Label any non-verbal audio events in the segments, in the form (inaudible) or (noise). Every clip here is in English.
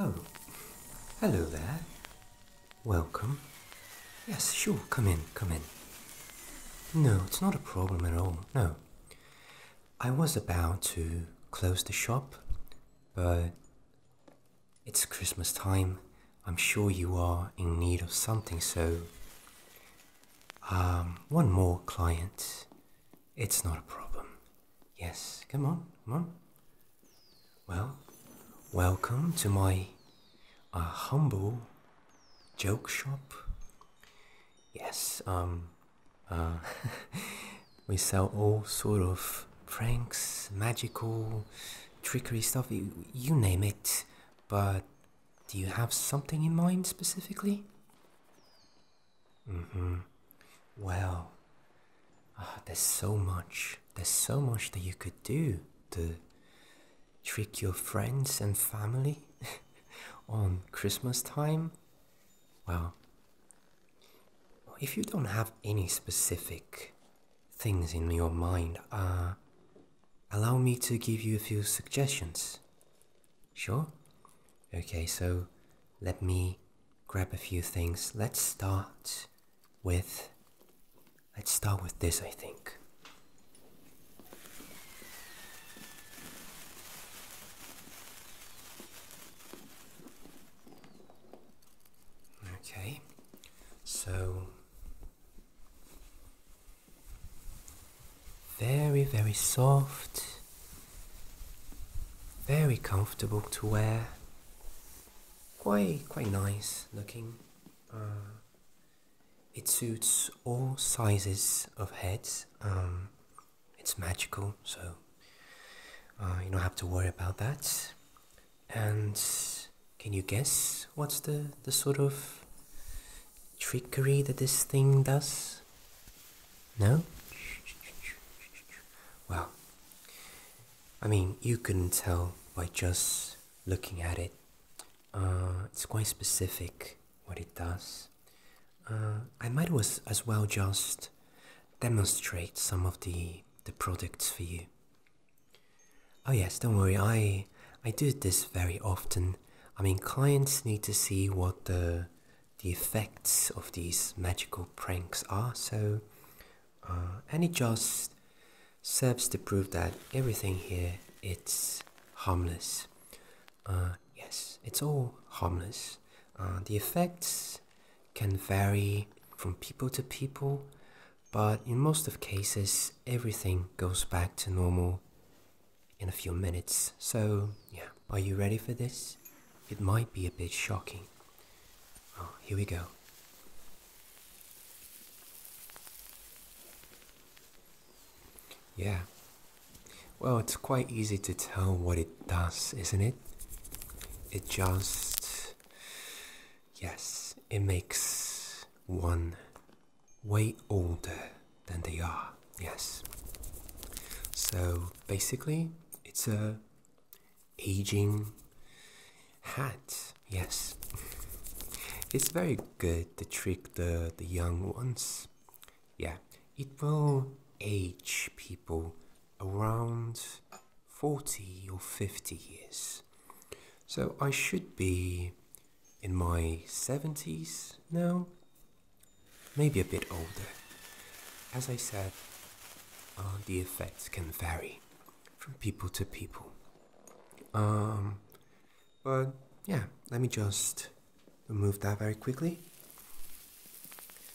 Oh, hello there. Welcome. Yes, sure, come in, come in. No, it's not a problem at all, no. I was about to close the shop, but it's Christmas time. I'm sure you are in need of something, so. Um, one more client. It's not a problem. Yes, come on, come on. Well, welcome to my uh, humble joke shop. Yes, um, uh, (laughs) we sell all sort of pranks, magical trickery stuff, you, you name it. But do you have something in mind specifically? Mm-hmm. Well, ah, there's so much. There's so much that you could do to trick your friends and family (laughs) on Christmas time. Well, if you don't have any specific things in your mind. Uh, allow me to give you a few suggestions. Sure? Okay, so let me grab a few things. Let's start with. Let's start with this, I think. Okay. So, very, very soft, very comfortable to wear, quite, quite nice looking. Uh, it suits all sizes of heads. Um, it's magical, so uh, you don't have to worry about that. And can you guess what's the, the sort of trickery that this thing does? No? Well, I mean, you couldn't tell by just looking at it. Uh, it's quite specific what it does. Uh, I might was, as well just demonstrate some of the, the products for you. Oh yes, don't worry. I I do this very often. I mean, clients need to see what the the effects of these magical pranks are. So, uh, and it just serves to prove that everything here it's harmless. Uh, yes, it's all harmless. Uh, the effects can vary from people to people, but in most of cases everything goes back to normal in a few minutes. So, yeah, are you ready for this? It might be a bit shocking. Oh, here we go. Yeah. Well, it's quite easy to tell what it does, isn't it? It just Yes, it makes one way older than they are. Yes. So basically, it's a aging hat. Yes. (laughs) It's very good to trick the, the young ones. Yeah, it will age people around 40 or 50 years. So I should be in my 70s now, maybe a bit older. As I said, uh, the effects can vary from people to people. Um, but yeah, let me just remove that very quickly.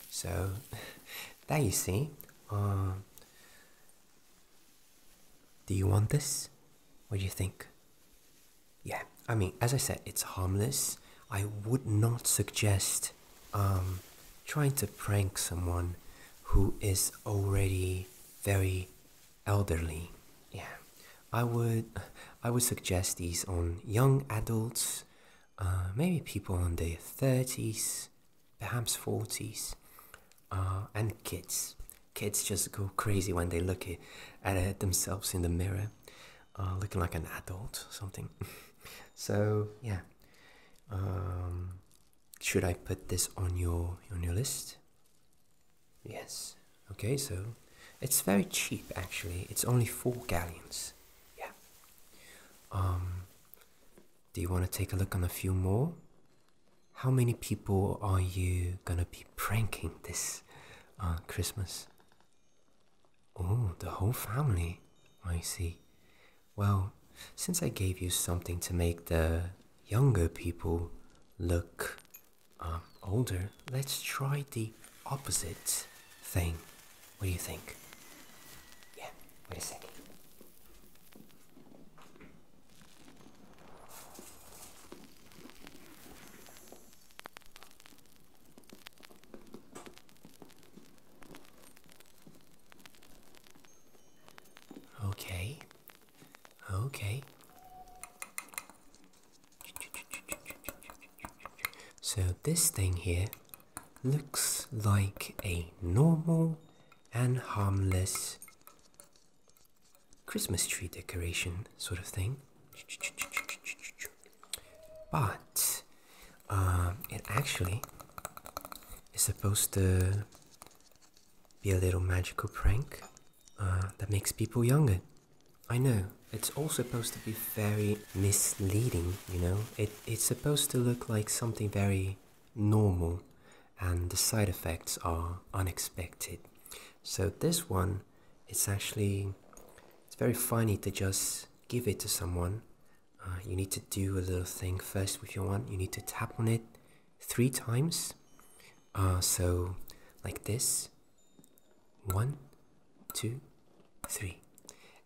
So, (laughs) there you see, uh, do you want this? What do you think? Yeah, I mean, as I said, it's harmless. I would not suggest um, trying to prank someone who is already very elderly. Yeah, I would, I would suggest these on young adults, uh, maybe people in their thirties, perhaps 40s, uh, and kids. Kids just go crazy when they look at, themselves in the mirror, uh, looking like an adult, something. (laughs) so yeah, um, should I put this on your on your list? Yes. Okay, so it's very cheap actually. It's only four gallons. Yeah. Um, do you want to take a look on a few more? How many people are you gonna be pranking this uh, Christmas? Oh, the whole family. I see. Well, since I gave you something to make the younger people look um, older, let's try the opposite thing. What do you think? Yeah, Wait a second. Okay. Okay. So this thing here looks like a normal and harmless Christmas tree decoration sort of thing. But uh, it actually is supposed to be a little magical prank uh, that makes people younger. I know, it's all supposed to be very misleading, you know? It, it's supposed to look like something very normal and the side effects are unexpected. So this one, it's actually, it's very funny to just give it to someone. Uh, you need to do a little thing first with your wand. You need to tap on it three times. Uh, so like this, one, two, three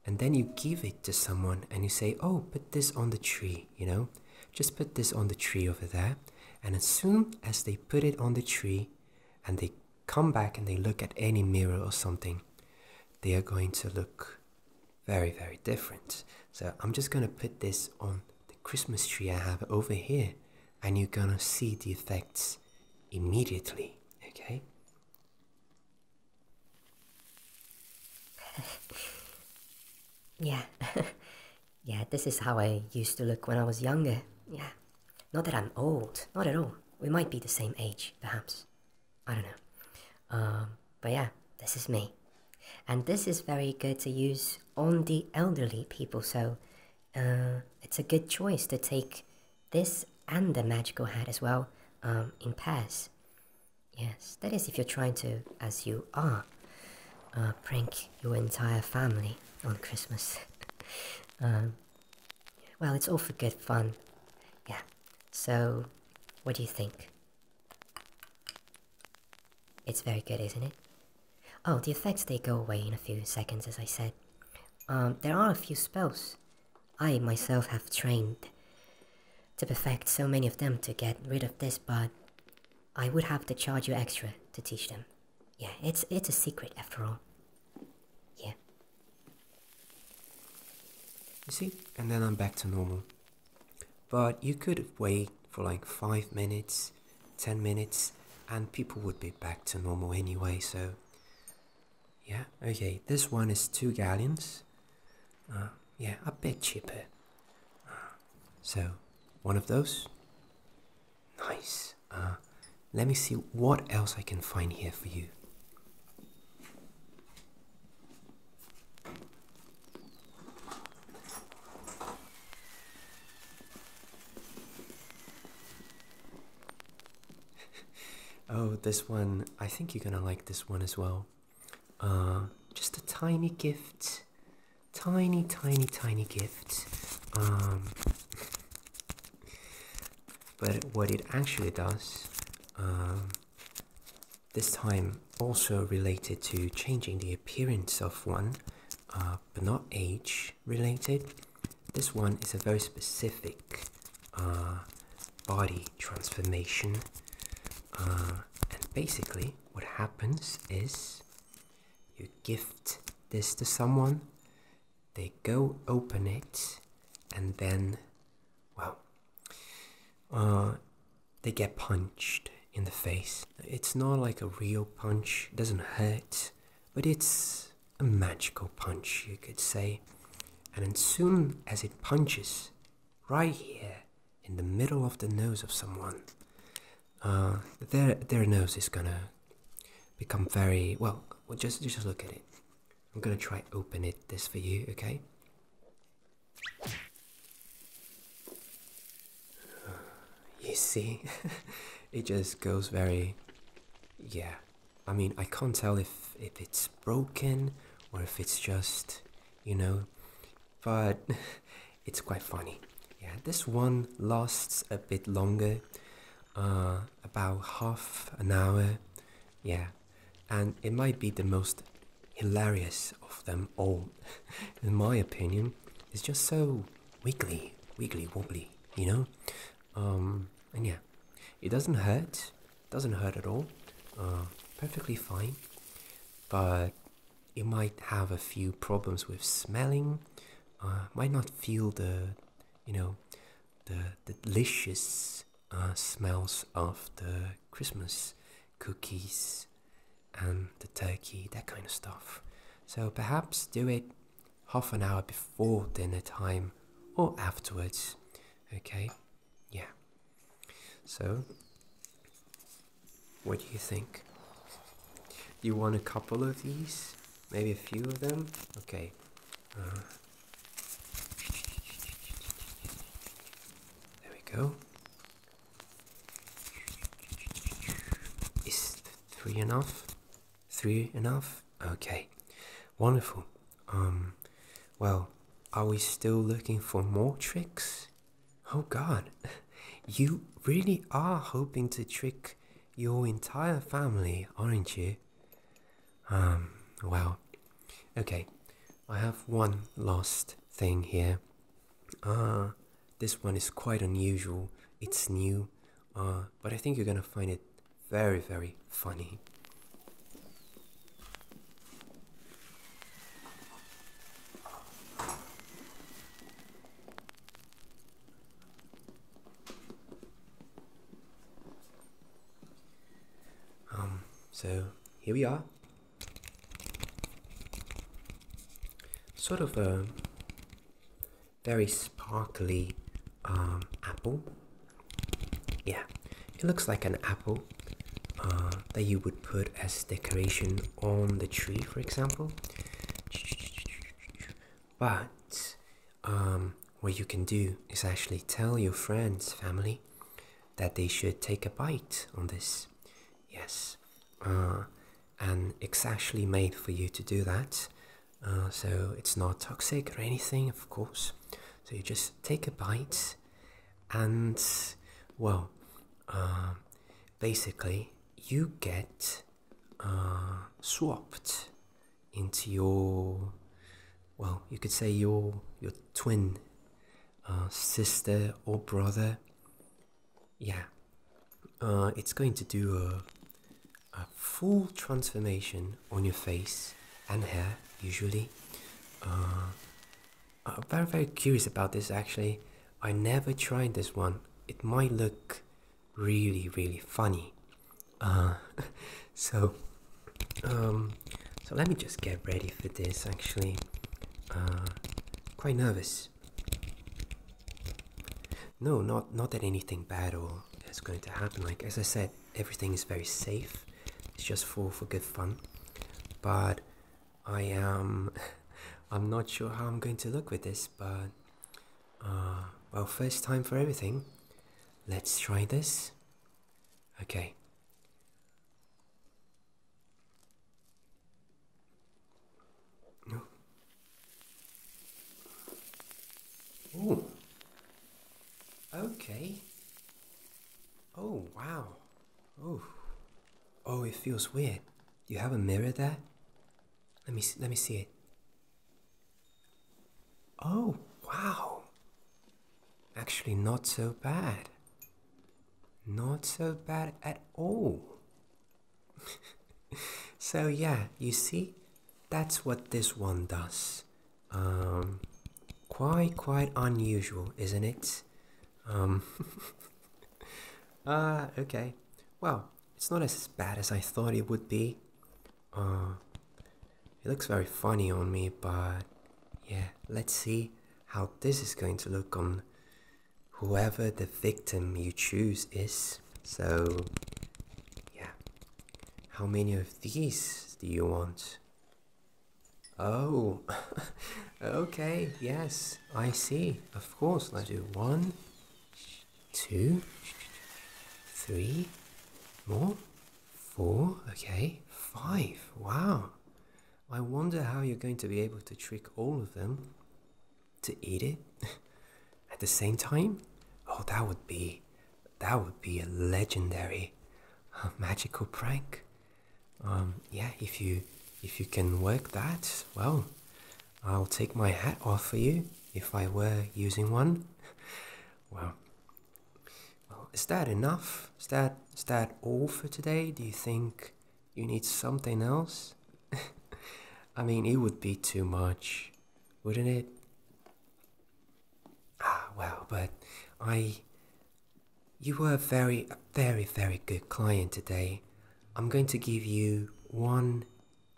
and then you give it to someone and you say, Oh, put this on the tree, you know, just put this on the tree over there. And as soon as they put it on the tree and they come back and they look at any mirror or something, they are going to look very, very different. So I'm just going to put this on the Christmas tree I have over here, and you're going to see the effects immediately, okay? (laughs) yeah. (laughs) yeah, this is how I used to look when I was younger. Yeah. Not that I'm old, not at all. We might be the same age, perhaps. I don't know. Um, but yeah, this is me. And this is very good to use on the elderly people, so uh, it's a good choice to take this and the magical hat as well um, in pairs. Yes, that is if you're trying to, as you are, uh, prank your entire family on Christmas. (laughs) Um, well, it's all for good fun. Yeah, so what do you think? It's very good, isn't it? Oh, the effects, they go away in a few seconds, as I said. Um, there are a few spells I myself have trained to perfect so many of them to get rid of this, but I would have to charge you extra to teach them. Yeah, it's it's a secret after all. Yeah. You see? And then I'm back to normal. But you could wait for like 5 minutes, 10 minutes, and people would be back to normal anyway, so... Yeah, okay, this one is 2 galleons. Uh, yeah, a bit cheaper. so, one of those. Nice. Uh, let me see what else I can find here for you. (laughs) oh, this one, I think you're gonna like this one as well. Uh, just a tiny gift, tiny, tiny, tiny gift. Um, but what it actually does, um, this time also related to changing the appearance of one, uh, but not age related. This one is a very specific uh, body transformation. Uh, and basically, what happens is you gift this to someone, they go open it, and then, well, uh, they get punched in the face. It's not like a real punch, it doesn't hurt, but it's a magical punch, you could say. And as soon as it punches, right here in the middle of the nose of someone, uh, their their nose is gonna become very well. Just just look at it. I'm gonna try open it this for you, okay? (sighs) You see, (laughs) it just goes very, yeah. I mean, I can't tell if if it's broken or if it's just, you know, but (laughs) it's quite funny. Yeah, this one lasts a bit longer, uh, about half an hour. Yeah, and it might be the most hilarious of them all, (laughs) in my opinion. It's just so wiggly, wiggly wobbly, you know? Um, and yeah, it doesn't hurt, doesn't hurt at all uh, perfectly fine but it might have a few problems with smelling uh, might not feel the you know the, delicious uh, smells of the christmas cookies and the turkey that kind of stuff so perhaps do it half an hour before dinner time or afterwards okay yeah. So, what do you think? You want a couple of these? Maybe a few of them? Okay. Uh, there we go. Is three enough? Three enough? Okay. Wonderful. Um, well, are we still looking for more tricks? Oh god, (laughs) you really are hoping to trick your entire family, aren't you? Um, well, okay, I have one last thing here. Ah, this one is quite unusual, it's new, uh, but I think you're gonna find it very, very funny. Um, so here we are. Sort of a very sparkly um, apple yeah, it looks like an apple uh, that you would put as decoration on the tree, for example. But um, what you can do is actually tell your friends, family, that they should take a bite on this. Yes, uh, and it's actually made for you to do that. Uh, so it's not toxic or anything, of course. So you just take a bite, and well, uh, basically you get uh, swapped into your well, you could say your your twin uh, sister or brother. Yeah, it's going to do a a full transformation on your face and hair usually. Uh, I'm very very curious about this actually. I never tried this one. It might look really really funny. Uh, (laughs) so um, so let me just get ready for this actually. Uh, quite nervous. No, not not that anything bad or is going to happen. Like as I said, everything is very safe. It's just for for good fun. But I am (laughs) I'm not sure how I'm going to look with this, but uh, well, first time for everything. Let's try this. Okay. Oh. Okay. Oh, wow. Oh. Oh, it feels weird. You have a mirror there? Let me see, let me see it. Oh, wow. Actually not so bad. Not so bad at all. (laughs) so yeah, you see? That's what this one does. Um, quite, quite unusual, isn't it? Um, ah, (laughs) okay. Well, it's not as bad as I thought it would be. Uh, it looks very funny on me, but yeah, let's see how this is going to look on whoever the victim you choose is. So, yeah. How many of these do you want? Oh, (laughs) okay, yes, I see. Of course, let's do one, two, three, more, four, okay, five. Wow. I wonder how you're going to be able to trick all of them to eat it (laughs) at the same time. Oh, that would be that would be a legendary uh, magical prank. Um, yeah, if you if you can work that, well, I'll take my hat off for you if I were using one. (laughs) well, well, is that enough? Is that is that all for today? Do you think you need something else? (laughs) I mean, it would be too much, wouldn't it? Ah, well, but I. You were very, a very, very good client today. I'm going to give you one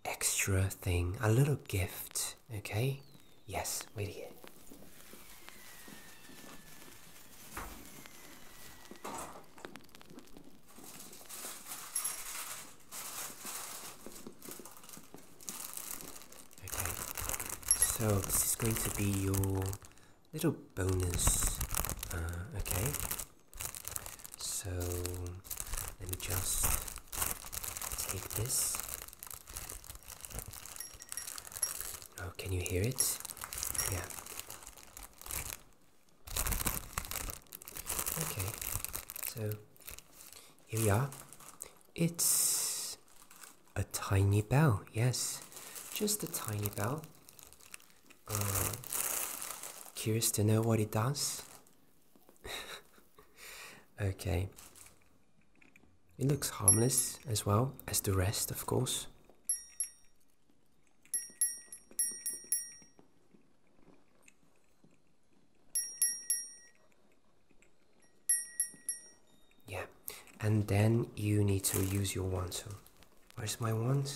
extra thing, a little gift, okay? Yes, wait here. Okay, so this is going to be your little bonus. Uh, okay, so let me just take this. Oh, can you hear it? Yeah. Okay, so here we are. It's a tiny bell, yes, just a tiny bell. Um, curious to know what it does? (laughs) okay. It looks harmless as well as the rest, of course. Yeah, and then you need to use your wand. So, where's my wand?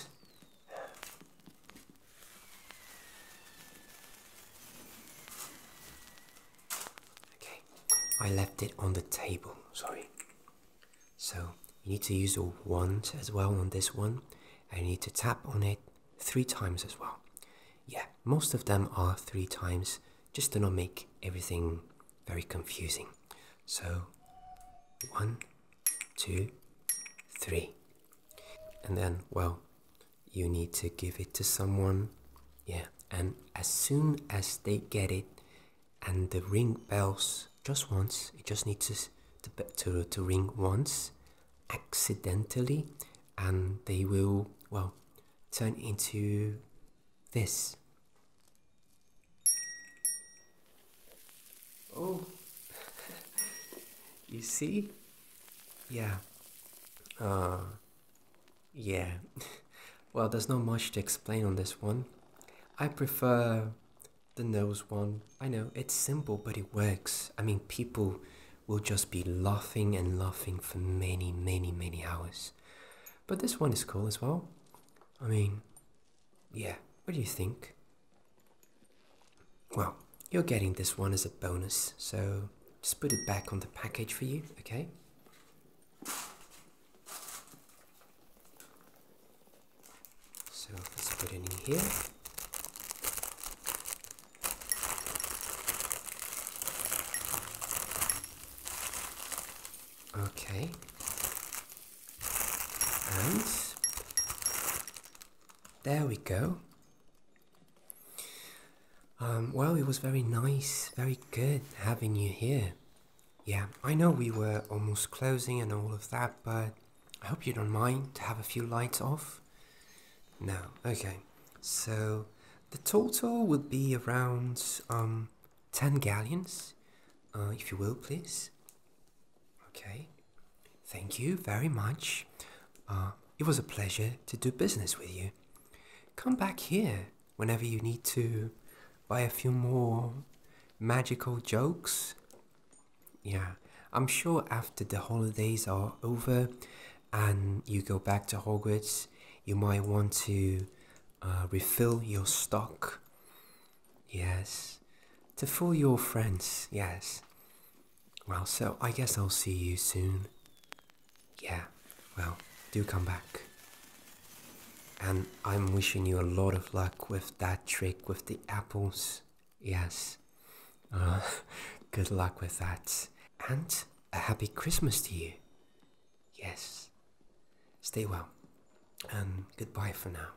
Okay, I left it on the table. Sorry. So you need to use your wand as well on this one, and you need to tap on it three times as well. Yeah, most of them are three times, just to not make everything very confusing. So, one, two, three. And then, well, you need to give it to someone. Yeah, and as soon as they get it and the ring bells just once, it just needs to, to, to, ring once accidentally and they will, well, turn into this. Oh, (laughs) you see? Yeah. Uh, yeah. (laughs) well, there's not much to explain on this one. I prefer the nose one. I know, it's simple, but it works. I mean, people we'll just be laughing and laughing for many, many, many hours. But this one is cool as well. I mean, yeah, what do you think? Well, you're getting this one as a bonus, so just put it back on the package for you, okay? So let's put it in here. Okay. And there we go. Um, well, it was very nice, very good having you here. Yeah, I know we were almost closing and all of that, but I hope you don't mind to have a few lights off. No, okay. So, the total would be around um, 10 galleons, uh, if you will, please. Okay, thank you very much. Uh, it was a pleasure to do business with you. Come back here whenever you need to buy a few more magical jokes. Yeah, I'm sure after the holidays are over, and you go back to Hogwarts, you might want to uh, refill your stock. Yes, to fool your friends. Yes. Well, so I guess I'll see you soon. Yeah, well, do come back. And I'm wishing you a lot of luck with that trick with the apples. Yes. Uh, (laughs) good luck with that. And a happy Christmas to you. Yes. Stay well, and goodbye for now.